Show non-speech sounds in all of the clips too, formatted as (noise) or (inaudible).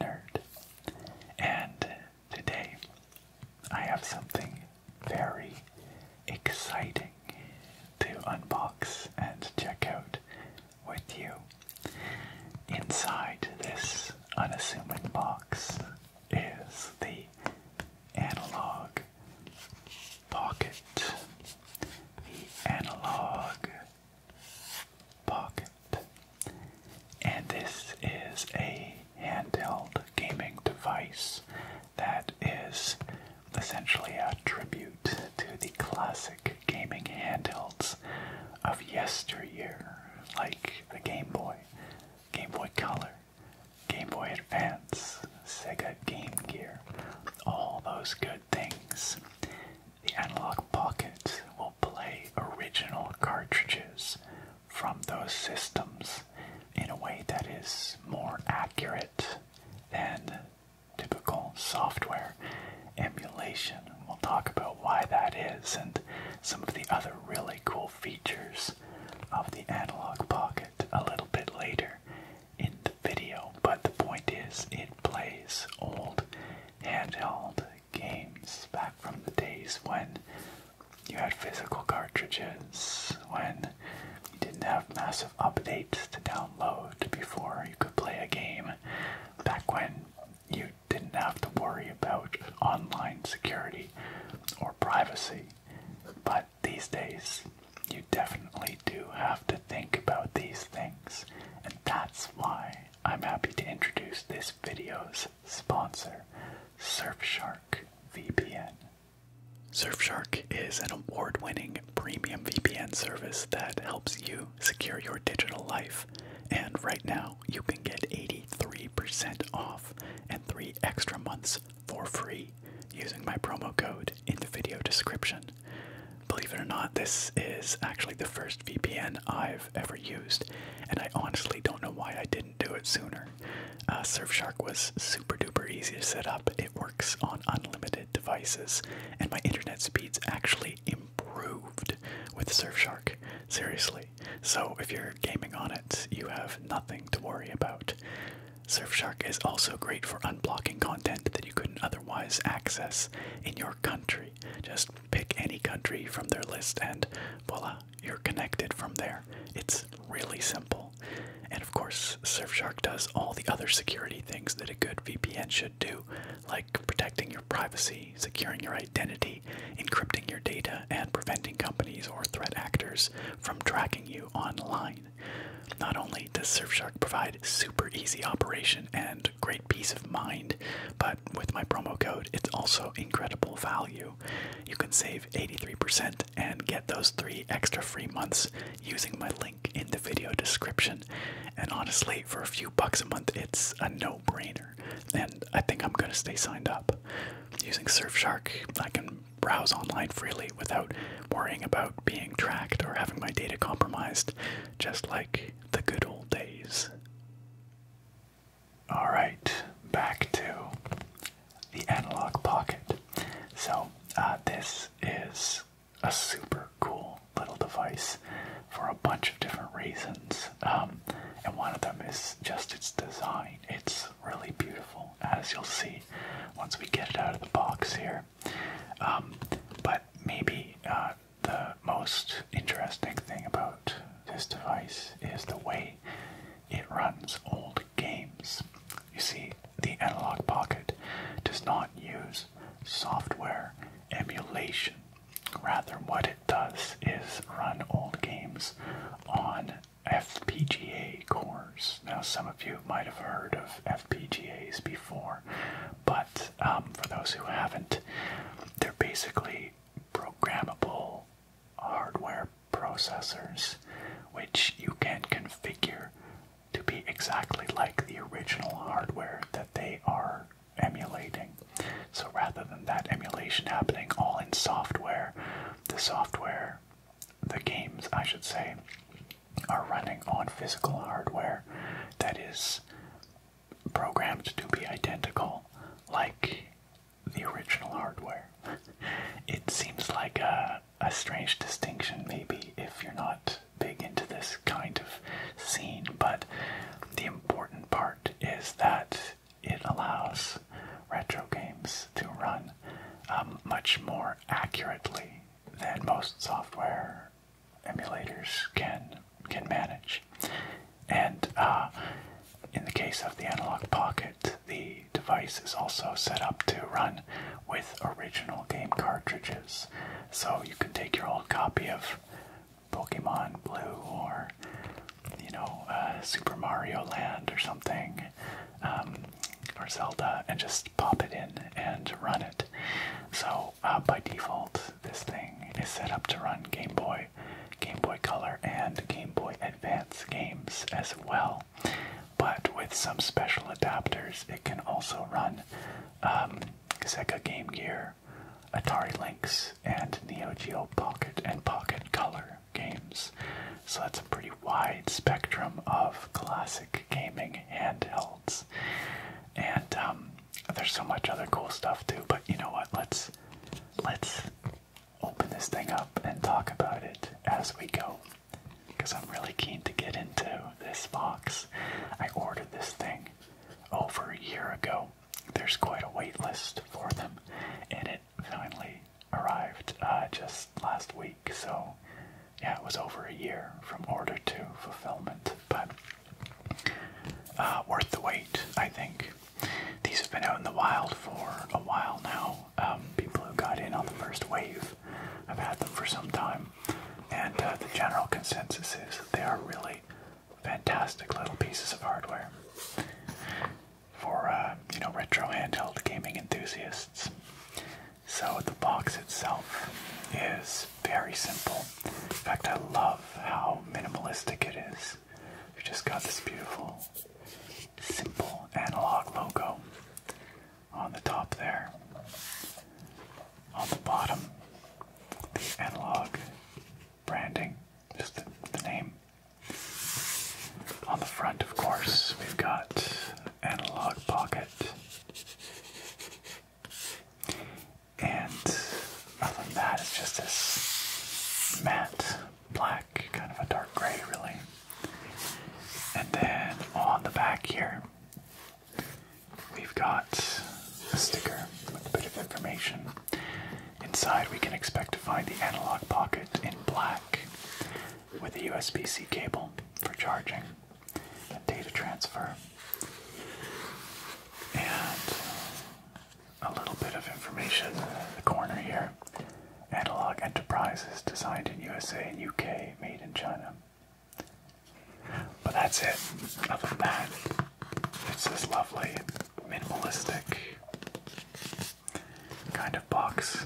nerd. And today I have something very exciting to unbox and check out with you. Inside this unassuming box is the analog pocket. The analog Pocket. And this is a handheld gaming device that is essentially a tribute to the classic gaming handhelds of yesteryear, like the Game Boy, Game Boy Color, Game Boy Advance, Sega Game Gear, all those good things the analog Pocket will play original cartridges from those systems in a way that is more accurate than typical software emulation. We'll talk about why that is and some of the other really cool features of the analog pocket a little bit later in the video. But the point is, it plays old handheld games back from the days when you had physical cartridges, when you didn't have massive updates to download before you could play a game, back when you didn't have to worry about online security or privacy. But these days, you definitely do have to think about these things, and that's why I'm happy to introduce this video's sponsor, Surfshark VPN. Surfshark is an award winning premium VPN service that helps you secure your digital life. And right now, you can get 83% off and three extra months for free using my promo code in the video description. Believe it or not, this is actually the first VPN I've ever used, and I honestly don't know why I didn't do it sooner. Uh, Surfshark was super duper easy to set up, it works on unlimited devices, and my internet speeds actually improved with Surfshark. Seriously. So if you're gaming on it, you have nothing to worry about. Surfshark is also great for unblocking content that you couldn't otherwise access in your country. Just pick any country from their list, and voila, you're connected from there. It's really simple. And of course, Surfshark does all the other security things that a good VPN should do, like protecting your privacy, securing your identity, encrypting your data, and preventing companies or threat actors from tracking you online. Not only does Surfshark provide super easy operation and great peace of mind, but with my promo code. It's also incredible value. You can save 83% and get those three extra free months using my link in the video description. And honestly, for a few bucks a month, it's a no-brainer. And I think I'm gonna stay signed up. Using Surfshark, I can browse online freely without worrying about being tracked or having my data compromised, just like the good old days. All right, back to the analog pocket. So, uh, this is a super cool little device for a bunch of different reasons. Um, and one of them is just its design. It's really beautiful, as you'll see once we get it out of the box here. Um, but maybe uh, the most interesting thing about this device is the way it runs old games. You see, the Analog Pocket does not use software emulation. Rather, what it does is run old games on FPGA cores. Now, some of you might have heard of FPGAs before, but um, for those who haven't, they're basically programmable hardware processors which you can configure to be exactly like the original hardware that they are emulating. So rather than that emulation happening all in software, the software, the games, I should say, are running on physical hardware that is programmed to be identical like the original hardware. it seems like a, a strange distinction, maybe, if you're not big into this kind of scene, but the important part is that it allows retro games to run um, much more accurately than most software emulators can can manage. And uh, in the case of the Analog Pocket, the device is also set up to run with original game cartridges. So you can take your old copy of Pokemon Blue or, you know, uh, Super Mario Land or something, um, or Zelda, and just pop it in and run it. So uh, by default, this thing is set up to run Game Boy, Game Boy Color, and Game Boy Advance games as well. But with some special adapters, it can also run um, Sega Game Gear, Atari Lynx, and Neo Geo Pocket and Pocket Color games. So that's a pretty wide spectrum of classic gaming handhelds. And um, there's so much other cool stuff too, but you know what? Let's let's open this thing up and talk about it as we go. Because I'm really keen to get into this box. I ordered this thing over a year ago. There's quite a wait list for them, and it finally arrived uh, just last week. So, yeah, it was over a year from order to fulfillment. But uh, worth the wait, I think. These have been out in the wild for a while now. Um, people who got in on the first wave have had them for some time, and uh, the general consensus is that they are really fantastic little pieces of hardware for uh, you know retro handheld gaming enthusiasts. So the box itself is very simple. In fact, I love how minimalistic it is. We just got this beautiful, simple analog logo on the top there. On the bottom, the analog branding, just the name. On the front, of course, we've got analog pocket. And other than that, it's just this matte black, kind of a dark gray, really. And then on the back here, we've got a sticker with a bit of information. Inside, we can expect to find the analog pocket in black with a USB C cable for charging and data transfer. And a little bit of information in the corner here. Analog Enterprises, designed in USA and UK, made in China. But that's it. Other than that, it's this lovely, minimalistic kind of box,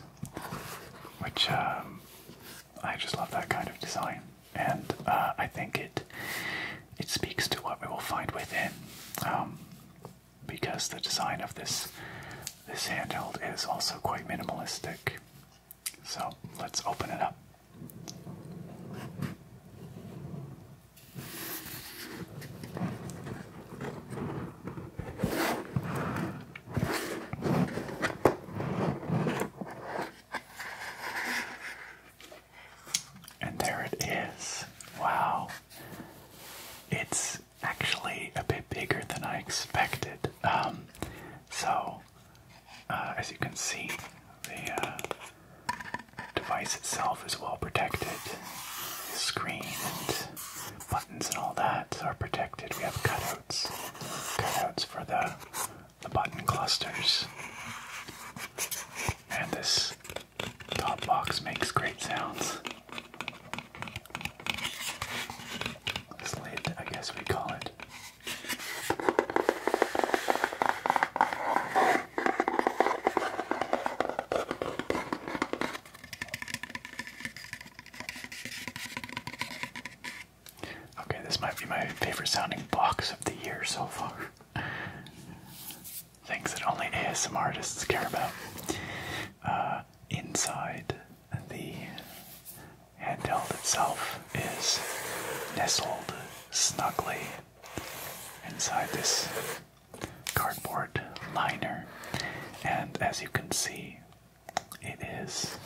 which um, I just love that kind of design and uh, I think it it speaks to what we will find within, um, because the design of this this handheld is also quite minimalistic. So let's open it up. And there it is. Wow. It's actually a bit bigger than I expected. Um, so, uh, as you can see, the uh, device itself is well protected. The screen and buttons and all that are protected. We have cutouts, cutouts for the the button clusters. And this top box makes great sounds. This lid, I guess we call it. Okay, this might be my favorite sounding box of the year so far. Things that only ASM artists care about. Uh, inside the handheld itself is nestled snugly inside this cardboard liner, and as you can see, it is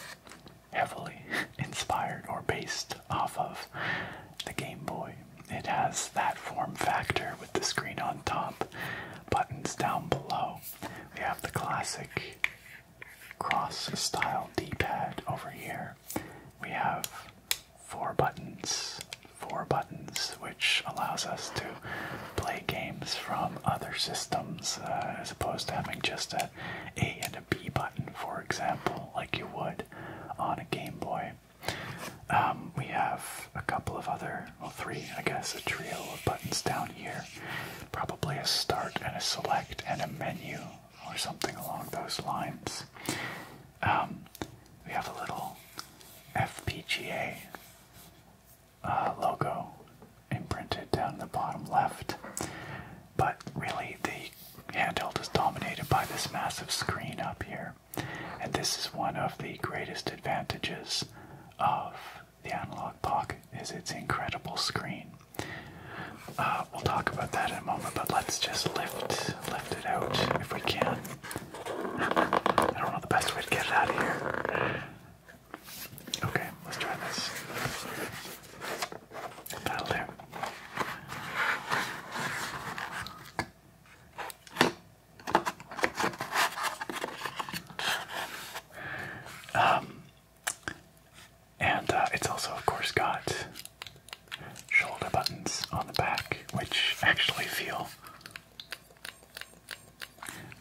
heavily (laughs) inspired or based off of the Game Boy it has that form factor with the screen on top, buttons down below. We have the classic cross style D-pad over here. We have four buttons, four buttons, which allows us to play games from other systems uh, as opposed to having just a A and a B button, for example, like you would on a Game Boy. Um, we have a couple of other, well, three, I guess, a trio of buttons down here. Probably a start and a select and a menu or something along those lines. Um, we have a little FPGA uh, logo imprinted down in the bottom left, but really the handheld is dominated by this massive screen up here. And this is one of the greatest advantages of the Analog Puck: is its incredible screen. Uh, we'll talk about that in a moment, but let's just lift, lift it out if we can. I don't know the best way to get it out of here. Okay, let's try this. That'll do. Um, and uh, it's also, of course, got shoulder buttons on the back, which actually feel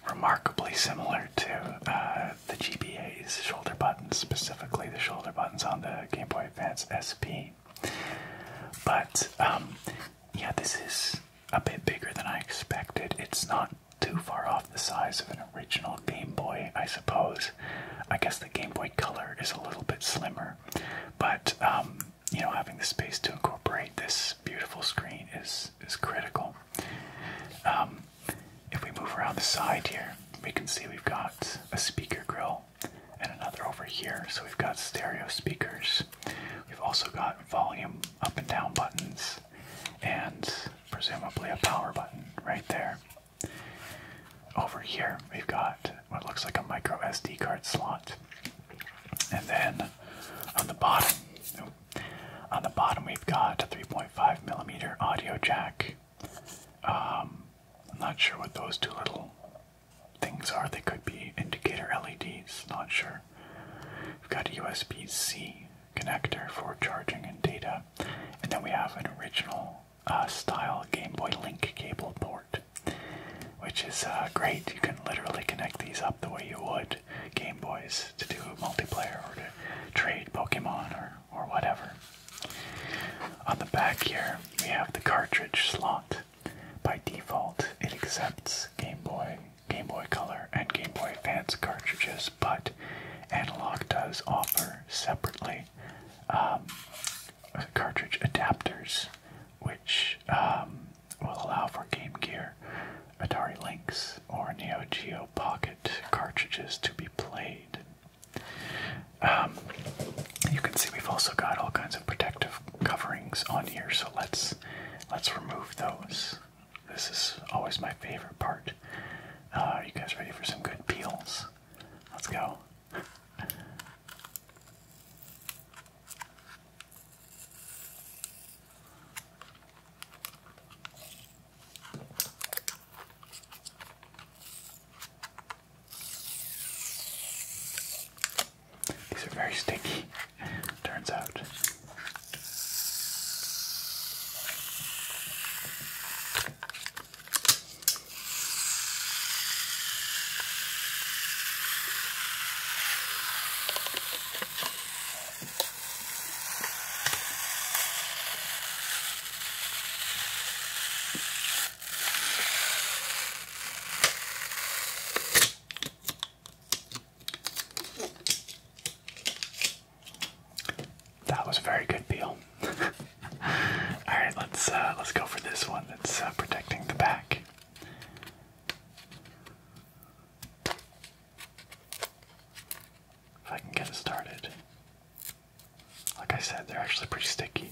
remarkably similar to uh, the GBA's shoulder buttons, specifically the shoulder buttons on the Game Boy Advance SP. But um, yeah, this is a bit bigger than I expected. It's not too far off the size of an original Game Boy, I suppose. I guess the Game Boy Color is a little bit slimmer, but um, you know, having the space to incorporate this beautiful screen is is critical. Um, if we move around the side here, we can see we've got a speaker grill and another over here. So we've got stereo speakers. We've also got volume up and down buttons and presumably a power button right there. Over here, we've got what looks like a micro SD card slot. And then on the bottom, on the bottom we've got a 3.5 millimeter audio jack. Um, I'm not sure what those two little things are. They could be indicator LEDs, not sure. We've got a USB C connector for charging and data, and then we have an original uh, style Game Boy Link cable port, which is uh, great. You can literally connect these up the way you would Game Boys to do multiplayer or to trade Pokemon or, or whatever. On the back here, we have the cartridge slot. By default, it accepts Game Boy, Game Boy Color, and Game Boy Advance cartridges, but Analog does offer separately um, cartridge adapters, which um, will allow for Game Gear, Atari Lynx, or Neo Geo Pocket cartridges to be played. Um, you can see we've also got all kinds of protective coverings on here, so let's let's remove those. This is always my favorite part. are uh, you guys ready for some good peels? Let's go. These are very sticky, turns out. That was a very good peel. (laughs) All right, let's uh, let's go for this one that's uh, protecting the back. If I can get it started. Like I said, they're actually pretty sticky.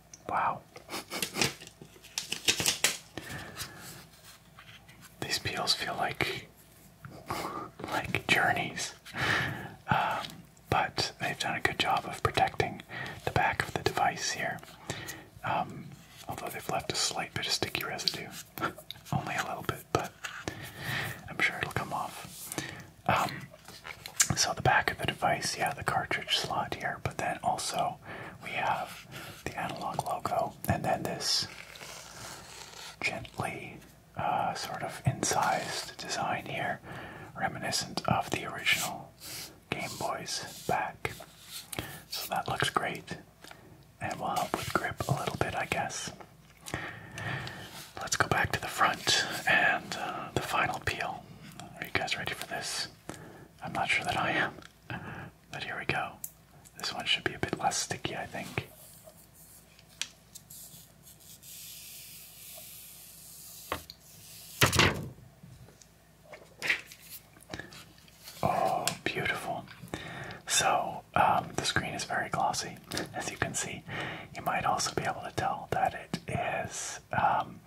Wow. These peels feel like like journeys, um, but they've done a good job of protecting the back of the device here. Um, although they've left a slight bit of sticky residue, (laughs) only a little bit, but I'm sure it'll come off. Um, so the back of the device, yeah, the cartridge slot here, but then also we have the analog logo, and then this gently uh, sort of incised design here, reminiscent of the original Game Boy's back. So that looks great, and will help with grip a little bit, I guess. Let's go back to the front and uh, the final peel. Are you guys ready for this? I'm not sure that I am. But here we go. This one should be a bit less sticky, I think. Oh, beautiful. So, um, the screen is very glossy, (laughs) as you can see. You might also be able to tell that it is um,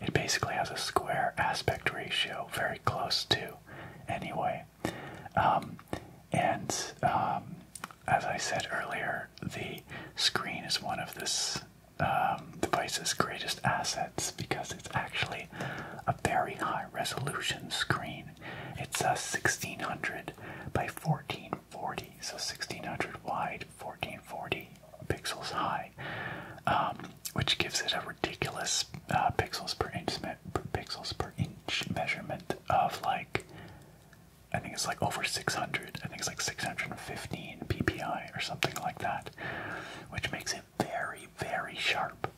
it basically has a square aspect ratio, very close to, anyway. Um, and um, as I said earlier, the screen is one of this um, device's greatest assets because it's actually a very high resolution screen. It's a 1600 by 1440, so 1600 wide, 1440 pixels high. Um, which gives it a ridiculous uh, pixels per inch measurement of like I think it's like over 600. I think it's like 615 ppi or something like that, which makes it very very sharp,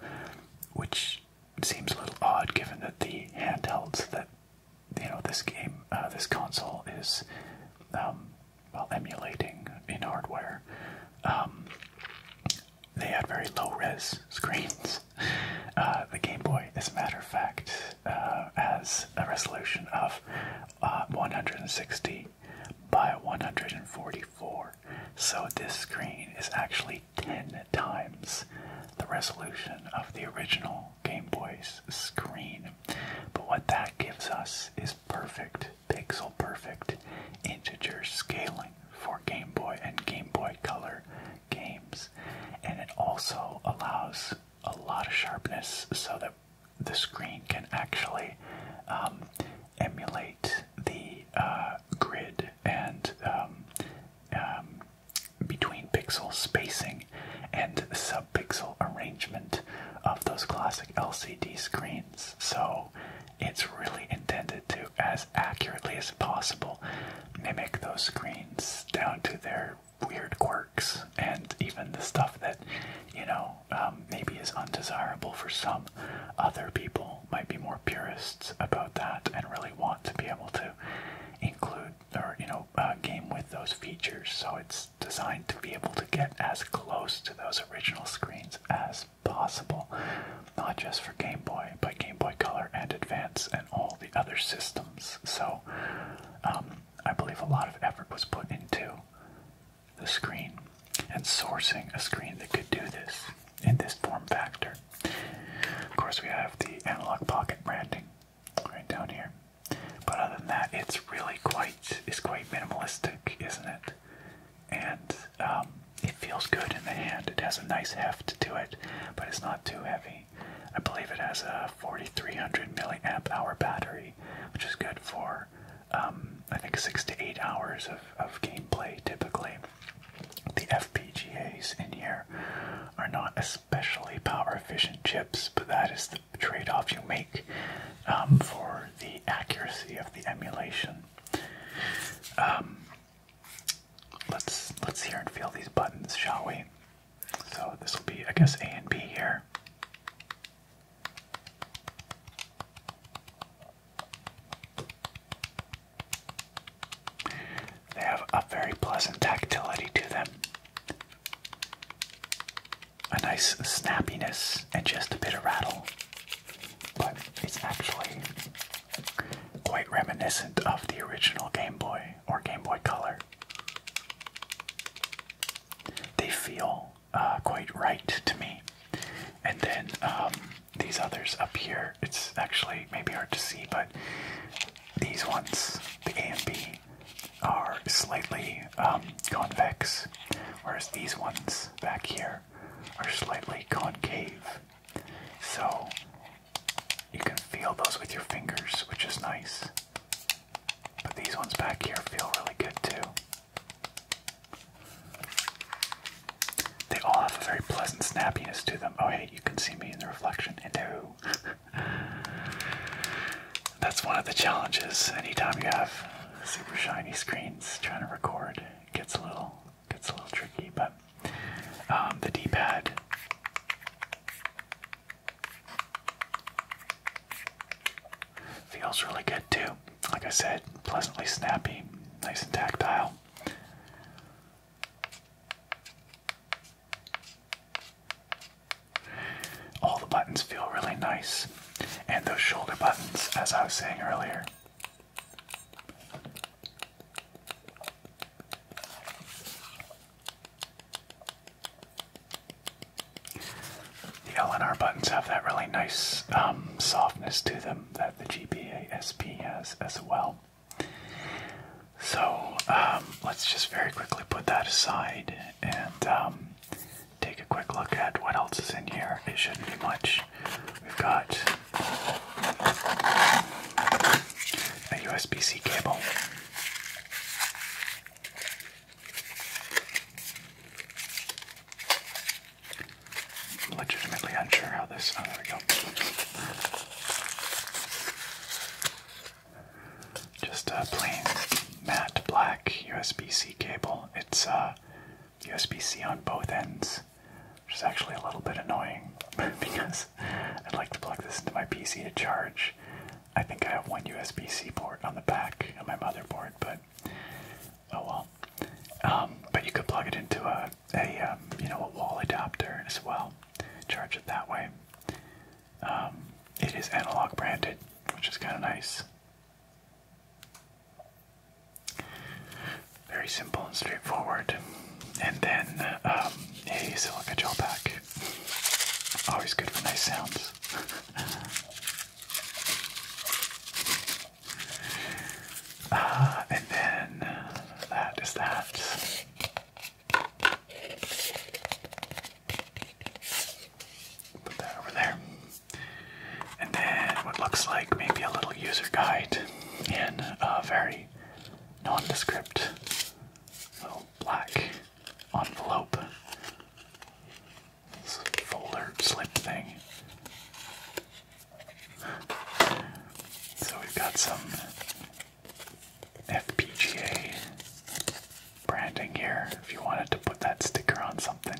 which seems a little odd given that the handhelds that you know this game uh, this console is um, well emulating in hardware um, they had very low res screens. Uh, the Game Boy, as a matter of fact, uh, has a resolution of uh, 160 by 144. So this screen is actually 10 times the resolution of the original Game Boy's screen. But what that gives us is perfect pixel perfect integer scaling for Game Boy and Game Boy Color games. And it also allows a lot of sharpness so that the screen can actually um, emulate the uh, grid and um, um, between pixel spacing and subpixel arrangement of those classic LCD screens. So it's really intended to, as accurately as possible, mimic those screens down to their weird quirks and even the stuff that, you know, um, maybe is undesirable for some. Other people might be more purists about that and really want to be able to include or, you know, uh, game with those features. So it's designed to be able to get as close to those original screens as possible, not just for Game Boy, but Game Boy Color and Advance and all the other systems. So um, I believe a lot of effort was put into the screen and sourcing a screen that could do this in this form factor. Of course, we have the analog pocket branding right down here. But other than that, it's really quite is quite minimalistic, isn't it? and um, it feels good in the hand. It has a nice heft to it, but it's not too heavy. I believe it has a 4300 milliamp hour battery, which is good for um, I think six to eight hours of, gameplay typically. The FPGAs in here are not especially power efficient chips, but that is the trade off you make um, for the accuracy of the emulation. Um, let's let's hear and feel these buttons, shall we? So this will be, I guess, A and B here. They have a very pleasant tactility to them, a nice snappiness, and just a bit of rattle but it's actually quite reminiscent of the original Game Boy or Game Boy Color. They feel uh, quite right to me. And then um, these others up here, it's actually maybe hard to see, but these ones, the A and B, are slightly um, convex, whereas these ones back here are slightly concave. So you can feel those with your fingers, which is nice. But these ones back here feel really good too. They all have a very pleasant snappiness to them. Oh, hey, you can see me in the reflection. Hello. That's one of the challenges anytime you have super shiny screens trying to record gets a little gets a little tricky, but um, the D-pad feels really good too. Like I said, pleasantly snappy, nice and tactile. All the buttons feel really nice, and those shoulder buttons, as I was saying earlier, the LNR buttons have that really nice um, softness to them that the GBA SP has as well. So um, let's just very quickly put that aside and um, take a quick look at what else is in here. It shouldn't be much. We've got a USB-C cable. legitimately unsure how this. Oh, there we go. Just a plain matte black USB-C cable. It's uh, USB-C on both ends, which is actually a little bit annoying (laughs) because I'd like to plug this into my PC to charge. I think I have one USB-C port on the back of my motherboard, but oh well. Um, but you could plug it into a, a um, you know, a wall adapter as well, charge it that way. Um, it is analog branded, which is kind of nice. Very simple and straightforward. And then um, a silica gel pack. Always good for nice sounds. (laughs) Ah, and then that is that. Put that over there. And then what looks like maybe a little user guide in a very nondescript little black envelope. This folder slip thing. So we've got some FPGA branding here if you wanted to put that sticker on something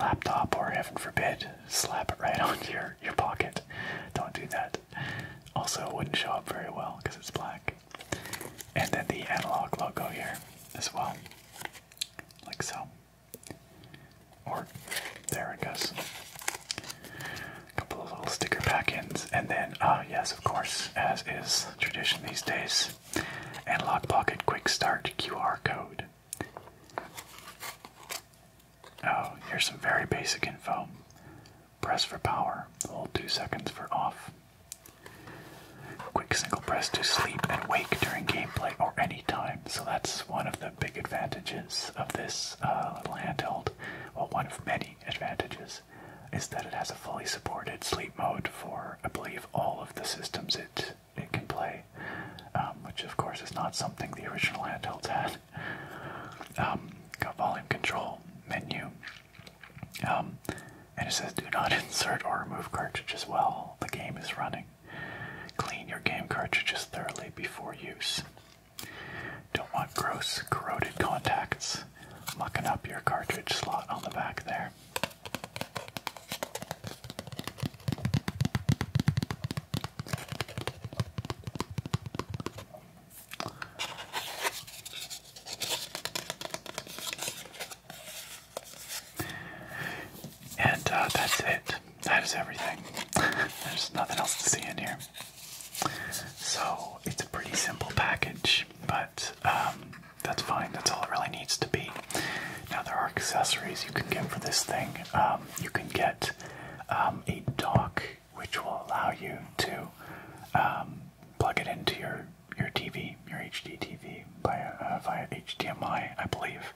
laptop or heaven forbid, slap it right (laughs) onto your, your pocket. Don't do that. Also, it wouldn't show up very well because it's black. And then the analog logo here as well, like so. Or there it goes. A couple of little sticker pack-ins, and then, ah, uh, yes, of course, as is tradition these days, analog pocket quick start QR code. Oh, here's some very basic info. Press for power, hold 2 seconds for off. Quick single press to sleep and wake during gameplay or any time, so that's one of the big advantages of this uh, little handheld. Well, one of many advantages is that it has a fully supported sleep mode for, I believe, all of the systems it it can play, um, which of course is not something the original handhelds had. Um, got volume control menu, um, and it says do not (laughs) insert or remove cartridges while the game is running. Clean your game cartridges thoroughly before use. Don't want gross, corroded contacts mucking up your cartridge slot on the back there. And uh, that's it. That is everything. There's nothing else to see in here. So it's a pretty simple package, but um, that's fine. That's all it really needs to be. Now there are accessories you can get for this thing. Um, you can get um, a dock which will allow you to um, plug it into your your TV, your HD TV uh, via, via HDMI, I believe,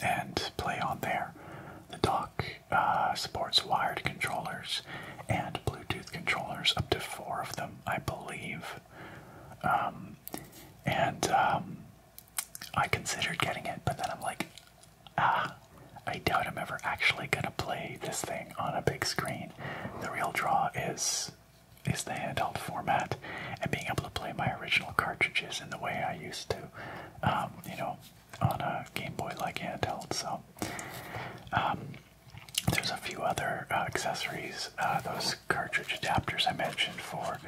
and play on there. The dock uh, supports wired controllers and Bluetooth controllers, up to four of them, I believe. and I considered getting it, but then I'm like, ah, I doubt I'm ever actually gonna play this thing on a big screen. The real draw is is the handheld format and being able to play my original cartridges in the way I used to, um, you know, on a Game Boy like handheld. So um, there's a few other uh, accessories, uh, those cartridge adapters I mentioned for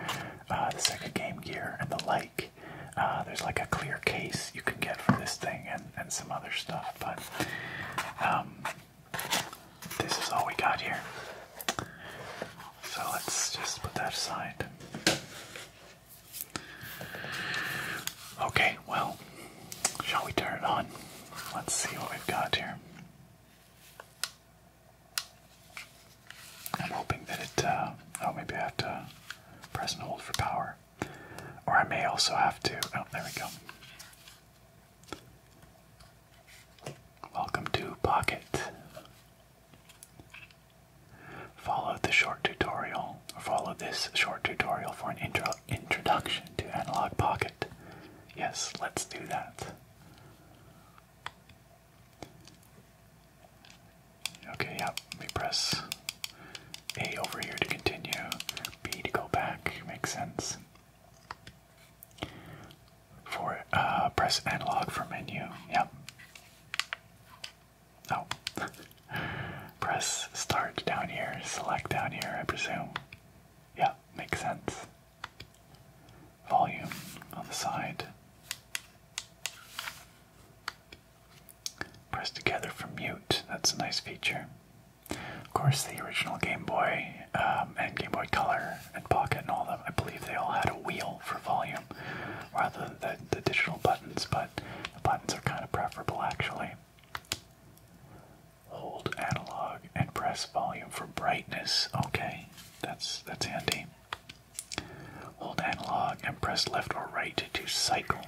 uh, the Sega Game Gear, and the like. Uh, there's like a clear case you can get for this thing and, and some other stuff, but um, this is all we got here. So let's just put that aside. Okay, well, shall we turn it on? Let's see what we've got here. I'm hoping that it, uh, oh, maybe I have to press and hold for power. Or I may also have to, oh, there we go. Welcome to Pocket. Follow the short tutorial, follow this short tutorial for an intro introduction to Analog Pocket. Yes, let's do that. Okay, yep, we press A over here to continue, B to go back, makes sense. For uh, press analog for menu, yep. Oh. (laughs) press start down here, select down here, I presume. Yeah, makes sense volume on the side. Press together for mute, that's a nice feature. Of course, the original Game Boy um, and Game Boy Color and Pocket and all them, I believe they all had a wheel for volume rather than the, additional buttons, but the buttons are kind of preferable actually. Hold analog and press volume for brightness. Okay, that's that's handy. Hold analog and press left or right to cycle.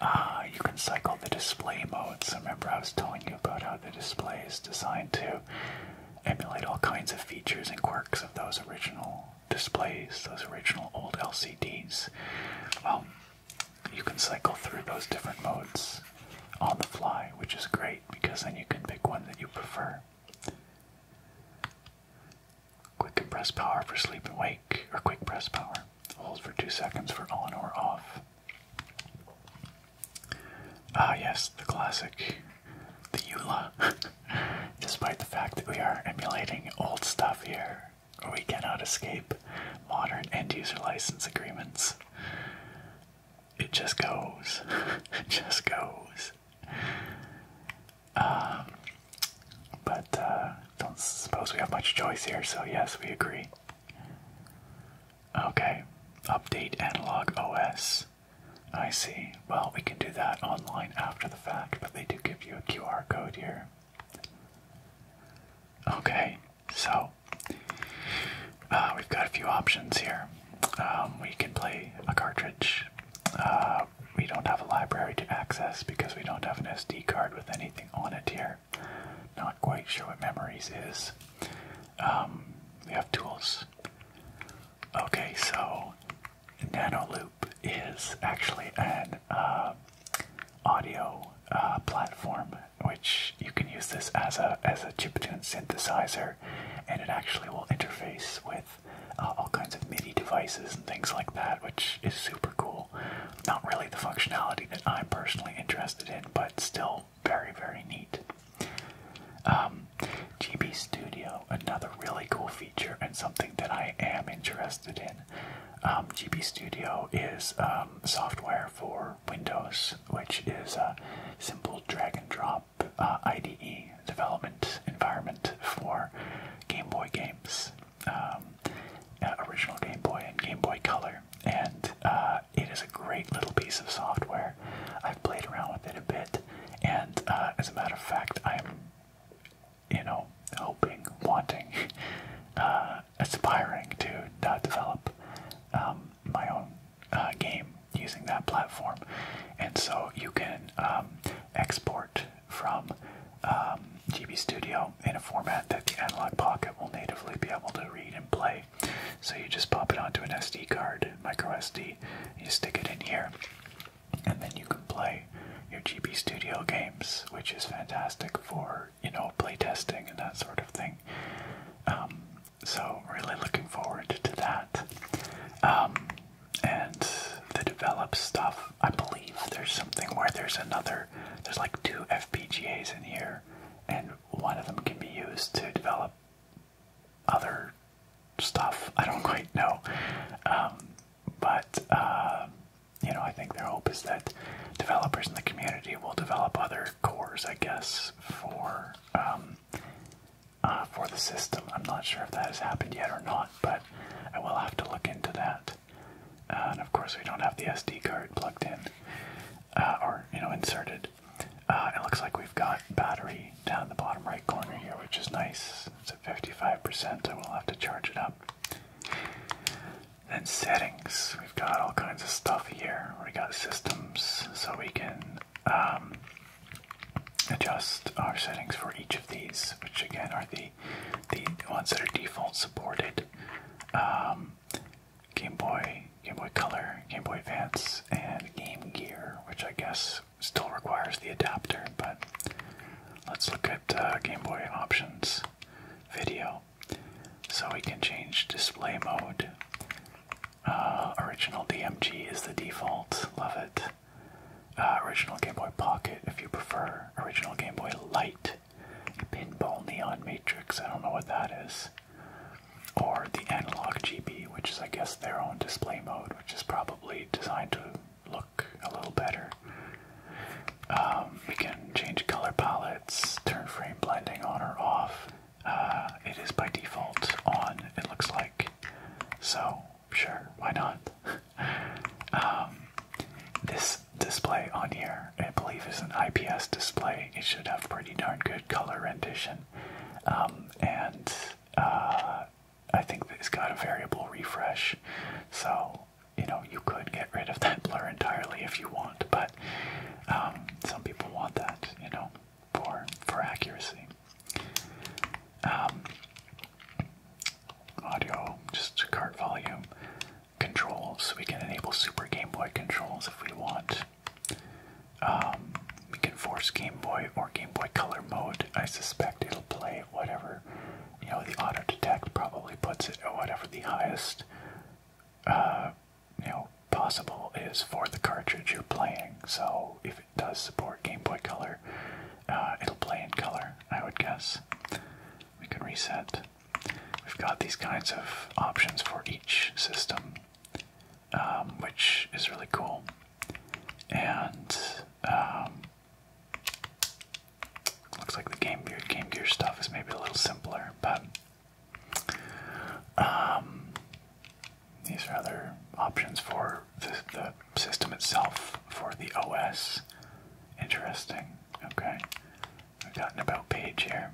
Ah, you can cycle the display modes. Remember, I was telling you about how the display is designed to emulate all kinds of features and quirks of those original displays, those original old LCDs. Well, um, you can cycle through those different modes on the fly, which is great because then you can pick one that you prefer. Quick press power for sleep and wake, or quick press power. Hold for two seconds for on or off. Ah, yes, the classic, the EULA. (laughs) Despite the fact that we are emulating old stuff here, we cannot escape modern end user license agreements. It just goes. (laughs) it just goes. Um, but uh, don't suppose we have much choice here, so yes, we agree. Okay, update analog OS. I see. Well, we can do that online after the fact, but they do give you a QR code here. Okay, so uh, we've got a few options here. Um, we can play a cartridge uh, we don't have a library to access because we don't have an SD card with anything on it here. Not quite sure what memories is. Um, we have tools. Okay, so Nano Loop is actually an uh, audio uh, platform, which you can use this as a as a chiptune synthesizer, and it actually will interface with uh, all kinds of MIDI devices and things like that, which is super cool. Not really the functionality that I'm personally interested in, but still very, very neat. Um, GB Studio, another really cool feature and something that I am interested in. Um, GB Studio is um, software for Windows, which is a simple drag and drop uh, IDE development environment for Game Boy games, um, original Game Boy and Game Boy Color, and uh, it is a great little piece of software. I've played around with it a bit, and uh, as a matter of fact, I'm, you know, hoping, wanting, (laughs) aspiring to develop um, my own game using that platform. And so you can um, export from um, GB Studio in a format that the Analog Pocket will natively be able to read and play. So you just pop it onto an SD card, micro SD, you stick it in here, and then you can play your GB Studio games, which is fantastic for you know play testing and that sort of thing. Um, so really looking forward to that and they develop stuff. I believe there's something where there's another, there's like two FPGAs in here, and one of them can be used to develop other stuff. I don't (laughs) quite know. Um, but, uh, you know, I think their hope is that developers in the community will develop other cores, I guess, for um, uh, for the system. I'm not sure if that has happened yet or not, but I will have to look into that. Uh, and of course, we don't have the SD card plugged in uh, or you know inserted. it looks like we've got battery down the bottom right corner here, which is nice. It's at 55%. I will have to charge it up. Then settings. We've got all kinds of stuff here. We got systems, so we can um, adjust our settings for each of these, which again are the the ones that are default supported. Um, Game Boy, Game Boy Color, Game Boy Advance, and Game Gear, which I guess still requires the adapter, but let's look at uh, Game Boy options video. So we can change display mode uh, original DMG is the default. Love it. Uh, original Game Boy Pocket, if you prefer. Original Game Boy Light. Pinball Neon Matrix. I don't know what that is. Or the Analog GB, which is, I guess, their own display mode, which is probably designed to look a little better. Um, we can change color palettes, turn frame blending on or off. Uh, it is by default on, it looks like. So sure, why not? (laughs) Um, this display on here, I believe, is an IPS display. It should have pretty darn good color rendition, um, and uh, I think it's got a variable refresh, so you know you could get rid of that (laughs) blur entirely if you want. But um, some people want that, you know for for accuracy. Um, audio, just cart volume, controls. We can enable Super Game Boy controls if we want. Um, we can force Game Boy or Game Boy Color mode. I suspect it'll play whatever. You know, the auto detect probably puts it at whatever the highest, uh, you know, possible is for the cartridge you're playing. So if does support Game Boy Color, uh, it'll play in color, I would guess. We can reset. We've got these kinds of options for each system, um, which is really cool. And um, looks like the Game Gear, stuff is maybe a little simpler, but um, these are other options for the, system itself, for the OS. Interesting. Okay. We've got an about page here.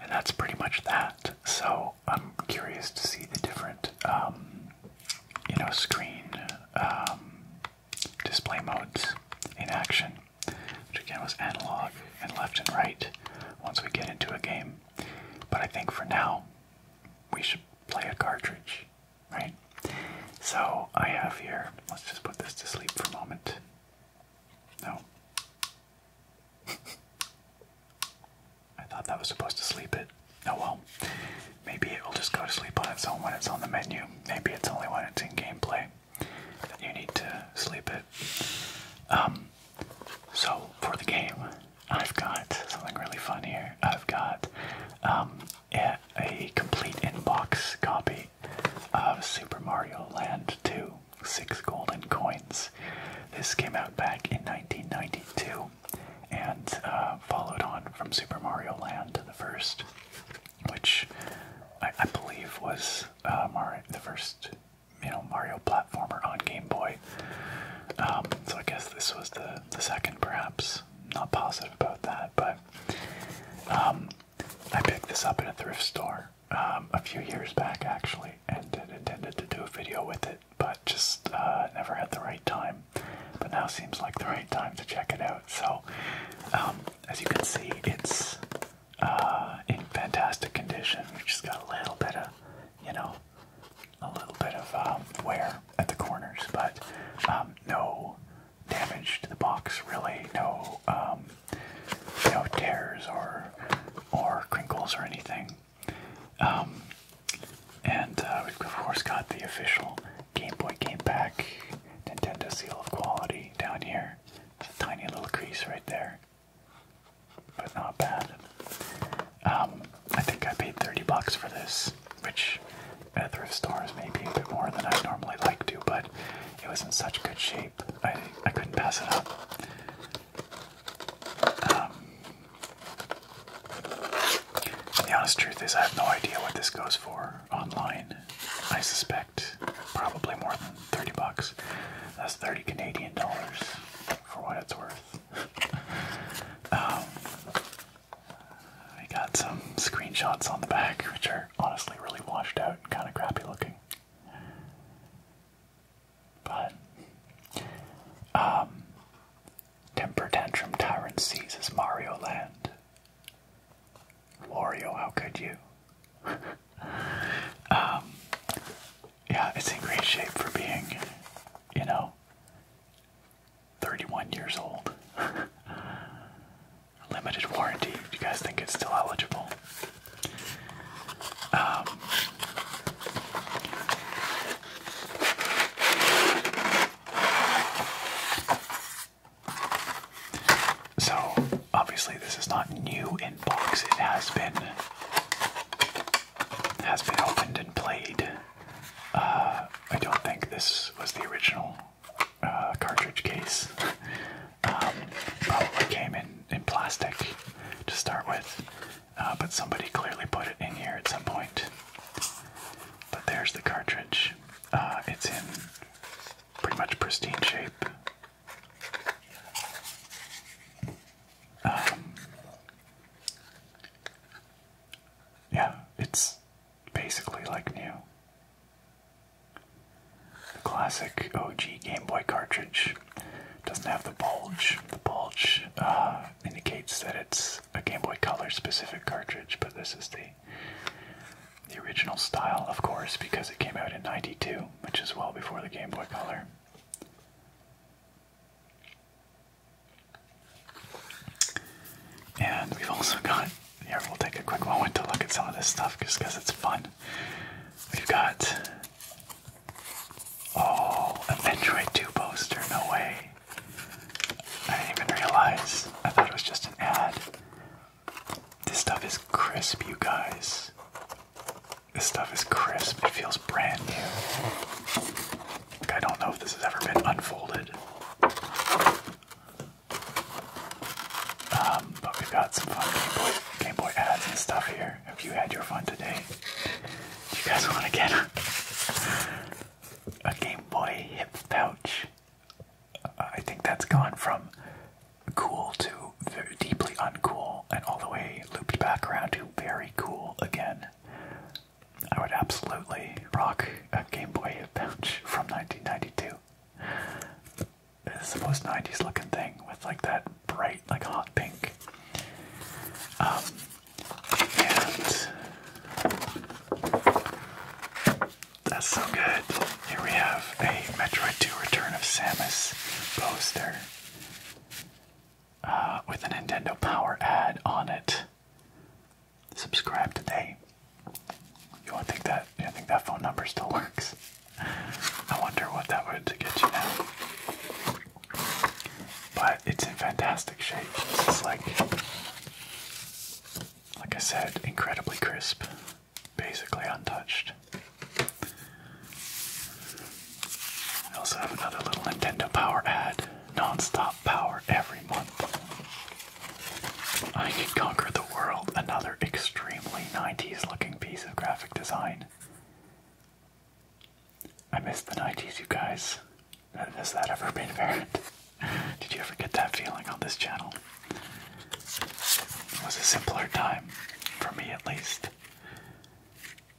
And that's pretty much that. So I'm curious to see the different, um, you know, screen um, display modes in action, which again was analog and left and right once we get into a game. But I think for now, we should play a cartridge, right? So I have here, let's just put this to sleep for a moment. No. (laughs) I thought that was supposed to sleep it. Oh well. Maybe it will just go to sleep on its own when it's on the menu. Maybe it's only when it's in gameplay that you need to sleep it. Um, so for the game, I've got something really fun here. I've got um, a, a complete inbox copy of Super Mario Land 2, six golden coins. This came out back in 1992 and uh, followed on from Super Mario Land, to the first, which I, believe was uh, Mario, the first you know Mario platformer on Game Boy. Um, so I guess this was the the second, perhaps. Not positive about that, but um, I picked this up in a thrift store um, a few years back actually, and intended to do a video with it, but just uh, never had the right time. But now seems like the right time to check it out. So as you can see, it's uh, in fantastic condition. We just got a little bit of you know, a little bit of um, wear at the corners, but um, no damage to the box really, no um, no tears or or crinkles or anything. and uh, we've of course got the official Game Boy Game Pack Nintendo seal of quality down here. tiny little crease right there but not bad. Um, I think I paid 30 bucks for this, which at thrift stores may be a bit more than I normally like to, but it was in such good shape, I, I couldn't pass it up. Um, the honest truth is, I have no idea what this goes for online. I suspect probably more than 30 bucks. That's 30 Canadian dollars for what it's worth. Um, I got some screenshots on the back, which are honestly really washed out and kind of crappy looking. But, um, Temper Tantrum Tyrant seizes Mario Land. Mario, how could you? (laughs) Um, yeah, it's in great shape for being, you know, 31 years old. (laughs) Limited warranty. Do you guys think it's still eligible? Um, so, obviously, this is not new in box. It has been has been opened and played. Uh, I don't think this was the original uh, cartridge case. um, probably came in, in plastic to start with, uh, but somebody clearly put it in here at some point. But there's the cartridge. it's in pretty much pristine shape. (sighs) yeah, it's basically like new. The classic OG Game Boy cartridge doesn't have the bulge. The bulge uh, indicates that it's a Game Boy Color specific cartridge, but this is the the original style, of course, because it came out in '92, which is well before the Game Boy Color. And we've also got here we'll take a quick moment to look at some of this stuff just because it's fun. We've got Oh, a Metroid 2 poster, no way. I didn't even realize. I thought it was just an ad. This stuff is crisp, you guys. This stuff is crisp. It feels brand new. I don't know if this has ever been unfolded. Um, but we've got some fun Game Boy, ads and stuff here. Have you had your fun today? you guys want to get a, Game Boy hip pouch? Uh, I think that's gone from cool to deeply uncool and all the way looped back around to very cool again. I would absolutely rock a Game Boy pouch from 1992. It's the most 90s looking thing with like that bright, like hot pink. Um, and that's so good. Here we have a Metroid 2 Return of Samus poster. Uh, with a Nintendo Power ad on it. Subscribe today. You don't think that? You think that phone number still works? I wonder what that would get you now. But it's in fantastic shape. It's like, like I said, incredibly crisp, basically untouched. I also have another little Nintendo Power ad, non-stop power every month. I can conquer the world, another extremely 90s looking piece of graphic design. I miss the 90s, you guys. Has that ever been apparent? (laughs) Did you ever get that feeling on this channel? It was a simpler time, for me at least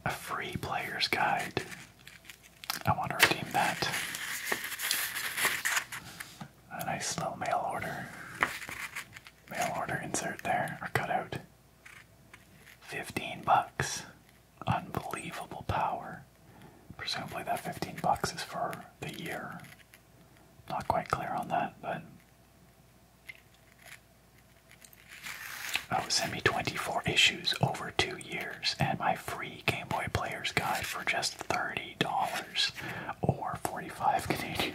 a free player's guide. I want to redeem that. A nice little mail order. Mail order insert there, or cutout. 15 bucks. Unbelievable power. Presumably that 15 bucks is for the year. Not quite clear on that, but Oh, send me 24 issues over two years, and my free Game Boy Player's Guide for just $30 or 45 Canadian.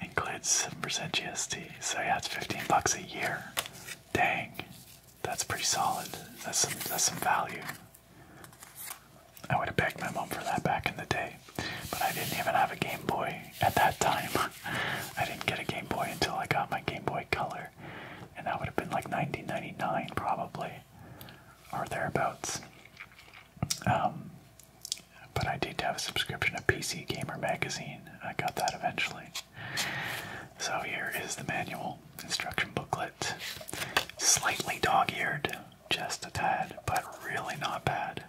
Includes 7% GST, so yeah, it's 15 bucks a year. Dang, that's pretty solid. That's some, that's some value. I would have begged my mom for that back in the day, but I didn't even have a Game Boy at that time. (laughs) I didn't get a Game Boy until I got my Game Boy Color, and that would have been like 1999 probably, or thereabouts. Um, but I did have a subscription to PC Gamer Magazine. I got that eventually. So here is the manual instruction booklet. Slightly dog-eared, just a tad, but really not bad.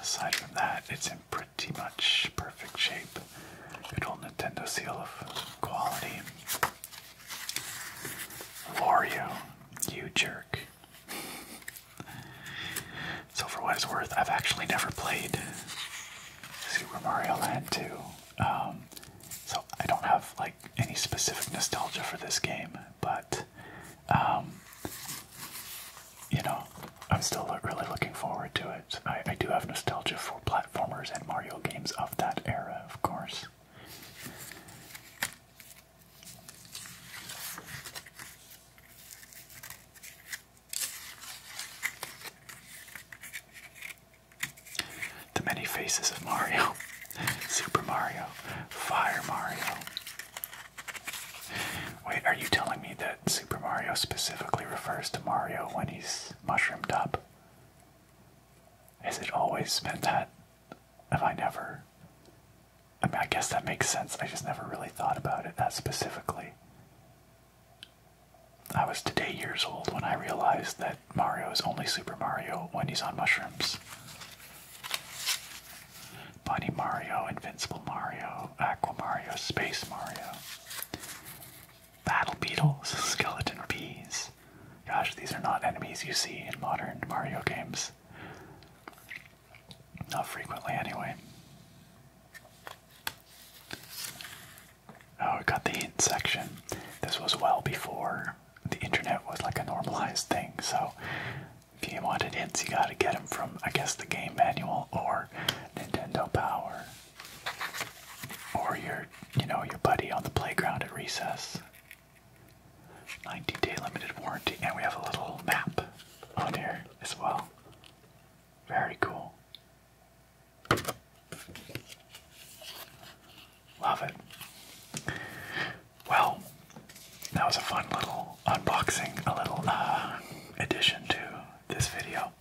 Aside from that, it's in pretty much perfect shape. Good old Nintendo seal of quality. Wario, you jerk. So for what it's worth, I've actually never played Super Mario Land 2. Um, so I don't have like any specific nostalgia for this game, but um, you know, I'm still really looking forward to it. I, I do have nostalgia for platformers and Mario games of that era, of course. The many faces of Mario, (laughs) Super Mario, Fire Mario. Wait, are you telling me that Super Mario specifically refers to Mario when he's mushroomed up. Has it always meant that? Have I never? I guess that makes sense. I just never really thought about it that specifically. I was today years old when I realized that Mario is only Super Mario when he's on mushrooms. Bunny Mario, Invincible Mario, Aquamario, Space Mario. Battle beetles, skeleton bees. Gosh, these are not enemies you see in modern Mario games. Not frequently, anyway. Oh, we got the hint section. This was well before the internet was like a normalized thing, so if you wanted hints, you gotta get them from, I guess, the game manual or Nintendo Power, or your, you know, your buddy on the playground at recess. 90-day limited warranty, and we have a little map on here as well. Very cool. Love it. Well, that was a fun little unboxing, a little uh, addition to this video.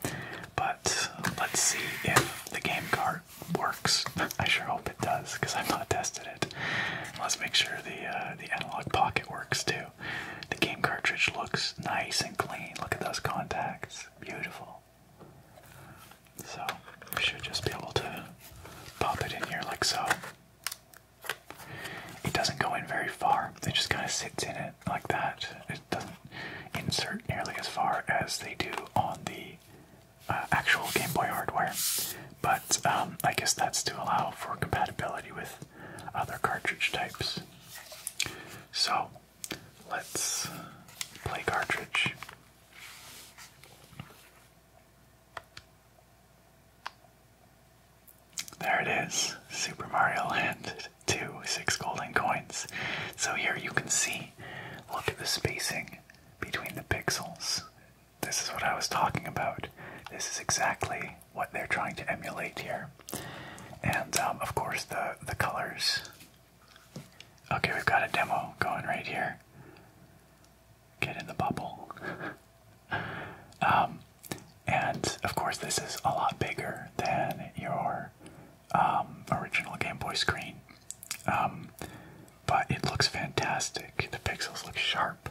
But uh, let's see if the game cart works. (laughs) I sure hope it does because I've not tested it. Let's make sure the uh, the analog pocket works too. The game cartridge looks nice and clean. Look at those contacts, beautiful. So we should just be able to pop it in here like so. It doesn't go in very far. It just kind of sits in it like that doesn't insert nearly as far as they do on the uh, actual Game Boy hardware. But um, I guess that's to allow for compatibility with other cartridge types. So let's play cartridge. There it is. Super Mario Land (laughs) 2, 6 golden coins. So here you can see, look at the spacing between the pixels. This is what I was talking about. This is exactly what they're trying to emulate here. And um, of course, the, the colors. Okay, we've got a demo going right here. Get in the bubble. (laughs) um, and of course, this is a lot bigger than your um, original Game Boy screen. Um, but it looks fantastic. The pixels look sharp.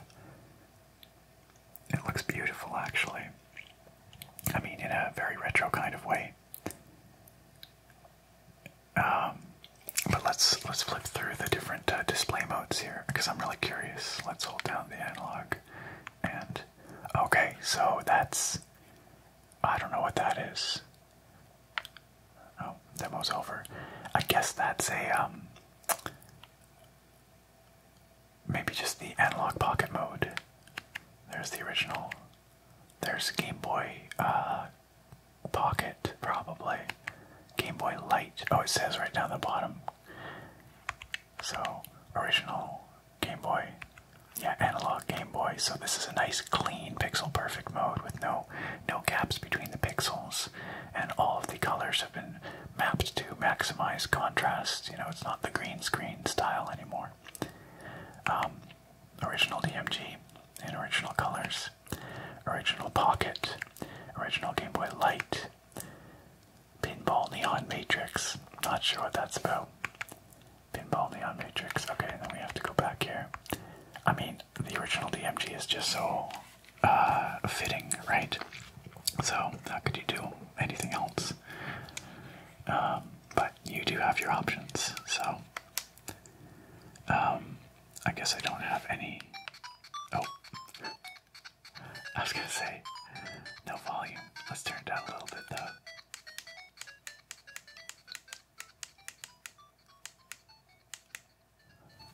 It looks beautiful, actually. I mean, in a very retro kind of way. Um, but let's let's flip through the different uh, display modes here because I'm really curious. Let's hold down the analog and Okay, so that's. I don't know what that is. Oh, demo's over. I guess that's a. Um, maybe just the analog pocket mode. There's the original. There's Game Boy uh, Pocket, probably. Game Boy Light. Oh, it says right down the bottom. So, original Game Boy. Yeah, analog Game Boy. So this is a nice clean pixel perfect mode with no no gaps between the pixels and all of the colors have been mapped to maximize contrast. You know, it's not the green screen style anymore. Um, original DMG in original colors, original Pocket, original Game Boy Light, Pinball Neon Matrix. Not sure what that's about. Pinball Neon Matrix. Okay, then we have to go back here. I mean, the original DMG is just so uh, fitting, right? So, how could you do anything else? Um, but you do have your options, so. Um, I guess I don't have any. Oh. (laughs) I was gonna say, no volume. Let's turn it down a little bit though.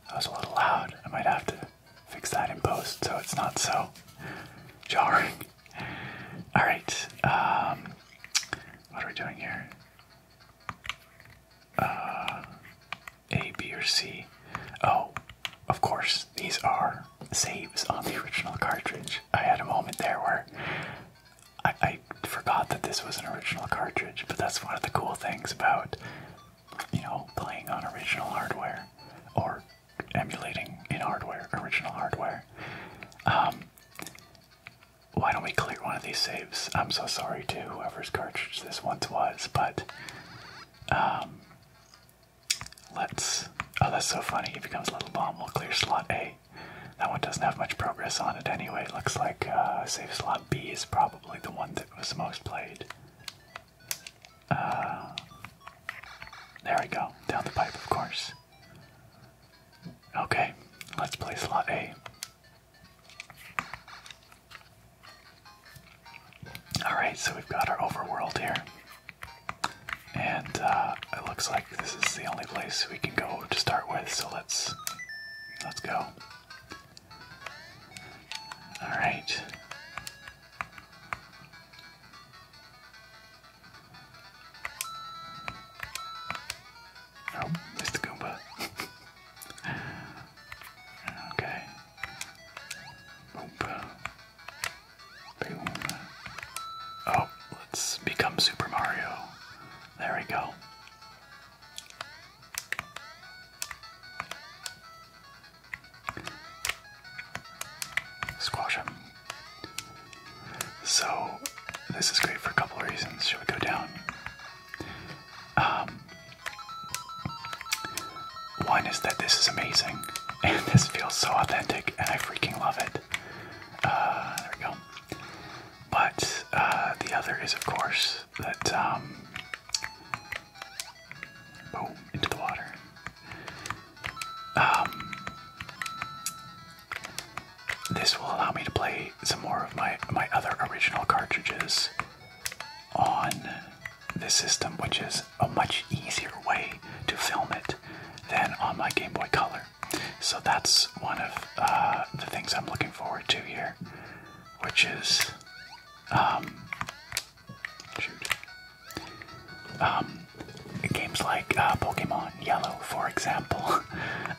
That was a little loud. I might have to fix that in post so it's not so jarring. Alright, um, what are we doing here? Uh, a, B, or C. Oh, of course, these are saves on the original cartridge. I had a moment there where I, forgot that this was an original cartridge, but that's one of the cool things about, you know, playing on original hardware or emulating in hardware, original hardware. Um, why don't we clear one of these saves? I'm so sorry to whoever's cartridge this once was, but um, Let's. Oh, that's so funny. It becomes Little Bomb. We'll clear slot A. That one doesn't have much progress on it anyway. Looks like uh, save slot B is probably the one that was most played. Uh, there we go. Down the pipe, of course. Okay, let's play slot A. Alright, so we've got our overworld here. And uh, it looks like this is the only place we can go to start with, so let's let's go. All right. Oh, Mr. Goomba. (laughs) okay. Oop. Oh, let's become Super Mario. There we go. Squash him. So, this is great for a couple of reasons. Should we go down? Um, one is that this is amazing and this feels so authentic, and I freaking love it. Uh, there we go. But uh, the other is, of course, that. Um, into the water. Um, this will allow me to play some more of my my other original cartridges on this system, which is a much easier way to film it than on my Game Boy Color. So that's one of uh, the things I'm looking forward to here, which is, um, shoot, um, games like uh, Pokemon Yellow, for example. (laughs)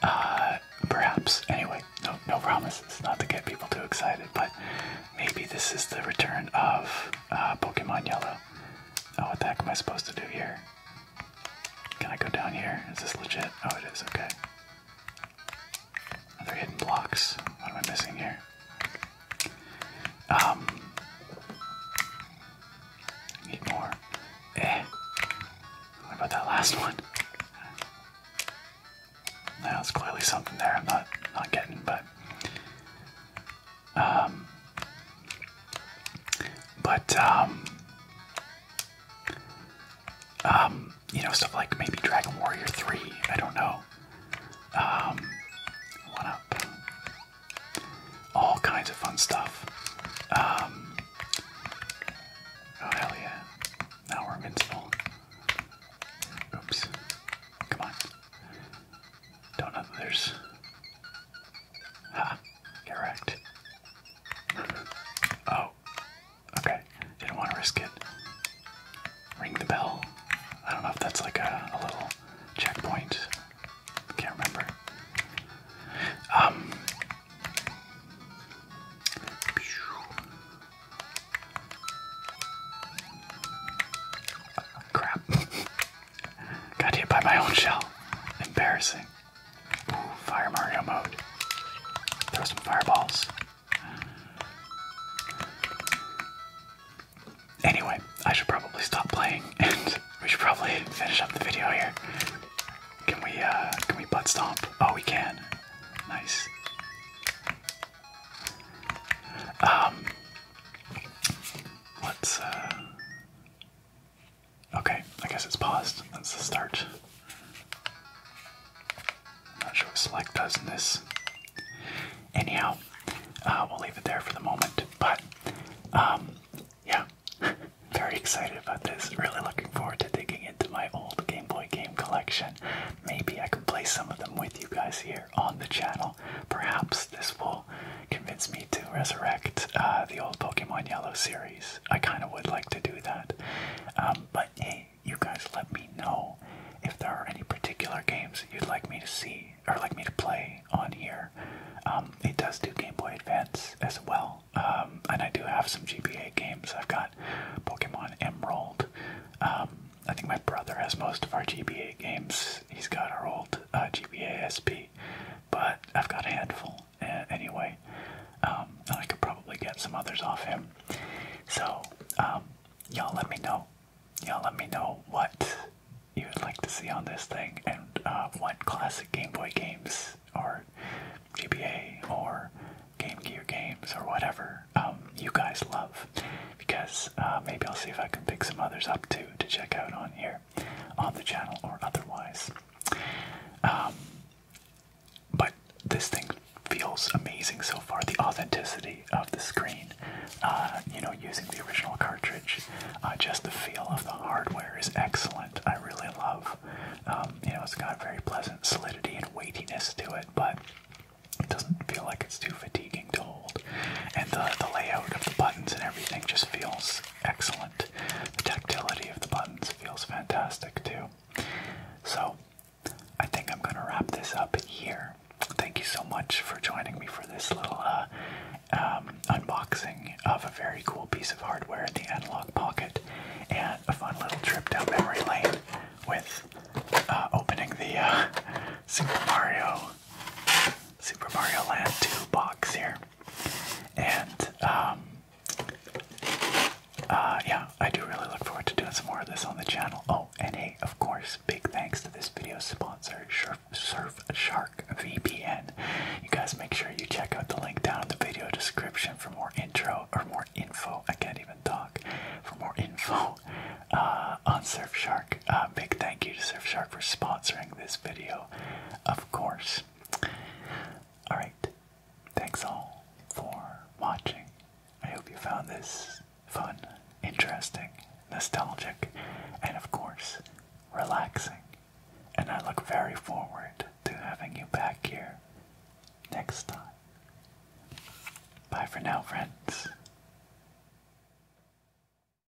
Uh, perhaps, anyway, no, no promises, not to get people too excited, but maybe this is the return of Pokemon Yellow. Oh, what the heck am I supposed to do here? Can I go down here? Is this legit? Oh, it is. Okay. Are hidden blocks? What am I missing here? Um. Need more. Eh. What about that last one? Now clearly something there I'm not not getting, but um, but um, um, you know, stuff like maybe Dragon Warrior Three. I don't know. Um, up. All kinds of fun stuff. oh hell yeah! Now we're invincible. Oops. Come on. Don't know that there's Ha, ah, correct. Oh, okay. Didn't want to risk it. Ring the bell. I don't know if that's like a, little checkpoint. Can't remember. Um. Crap. (laughs) Got hit by my own shell. Embarrassing. Fire Mario mode. Throw some fireballs. Anyway, I should probably stop playing (laughs) and we should probably finish up the video here. Can we, uh, can we butt stomp? Oh, we can. Nice. Um, let uh, Okay, I guess it's paused. That's the start. I'm not sure what select does in this. Anyhow, uh, we'll leave it there for the moment. But um, yeah, (laughs) very excited about this. Really looking forward to digging into my old Game Boy game collection. Maybe I can play some of them with you guys here on the channel. Perhaps this will convince me to resurrect uh, the old Pokemon Yellow series. I kind of would like to do that. Um, but hey, you guys let me know if there are any particular games that you'd like me to see or like me to play on here. Um, it does do Game Boy Advance as well. Um, and I do have some GBA games. I've got Pokemon Emerald. I think my brother has most of our GBA games. He's got our old uh, GBA SP. But I've got a handful anyway, um, I could probably get some others off him. So, um, y'all let me know. Y'all let me know what you would like to see on this thing and uh, what classic Game Boy games or GBA or Game Gear games or whatever um, you guys love. Because uh, maybe I'll see if I can pick some others up too to check out on here on the channel or otherwise. Um, but this thing feels amazing so far. The authenticity of the screen, uh, you know, using the original cartridge, uh, just the feel of the hardware is excellent. I really love. Um, you know, it's got very pleasant solidity and weightiness to it, but it doesn't feel like it's too fatiguing to hold. And the, the layout of the buttons and everything just feels excellent. The tactility of the buttons feels fantastic too. So, I think I'm gonna wrap this up here. Thank you so much for joining me for this little uh, um, unboxing of a very cool piece of hardware in the analog pocket and a fun little trip down memory lane with uh, opening the uh, (laughs) Super Mario Super Mario Land 2 box here. And, um, uh, yeah, I do really look forward to doing some more of this on the channel. Oh, and hey, of course, big thanks to this video sponsor, Surf Shark VPN. You guys make sure you check out the link down in the video description for more intro or more info. I can't even talk. For more info uh, on Surf Shark. Surfshark. Uh, big thank you to Surfshark for sponsoring this video, of course. Alright, thanks all for watching. I hope you found this fun, interesting, nostalgic, and of course, relaxing. And I look very forward to having you back here next time. Bye for now, friends.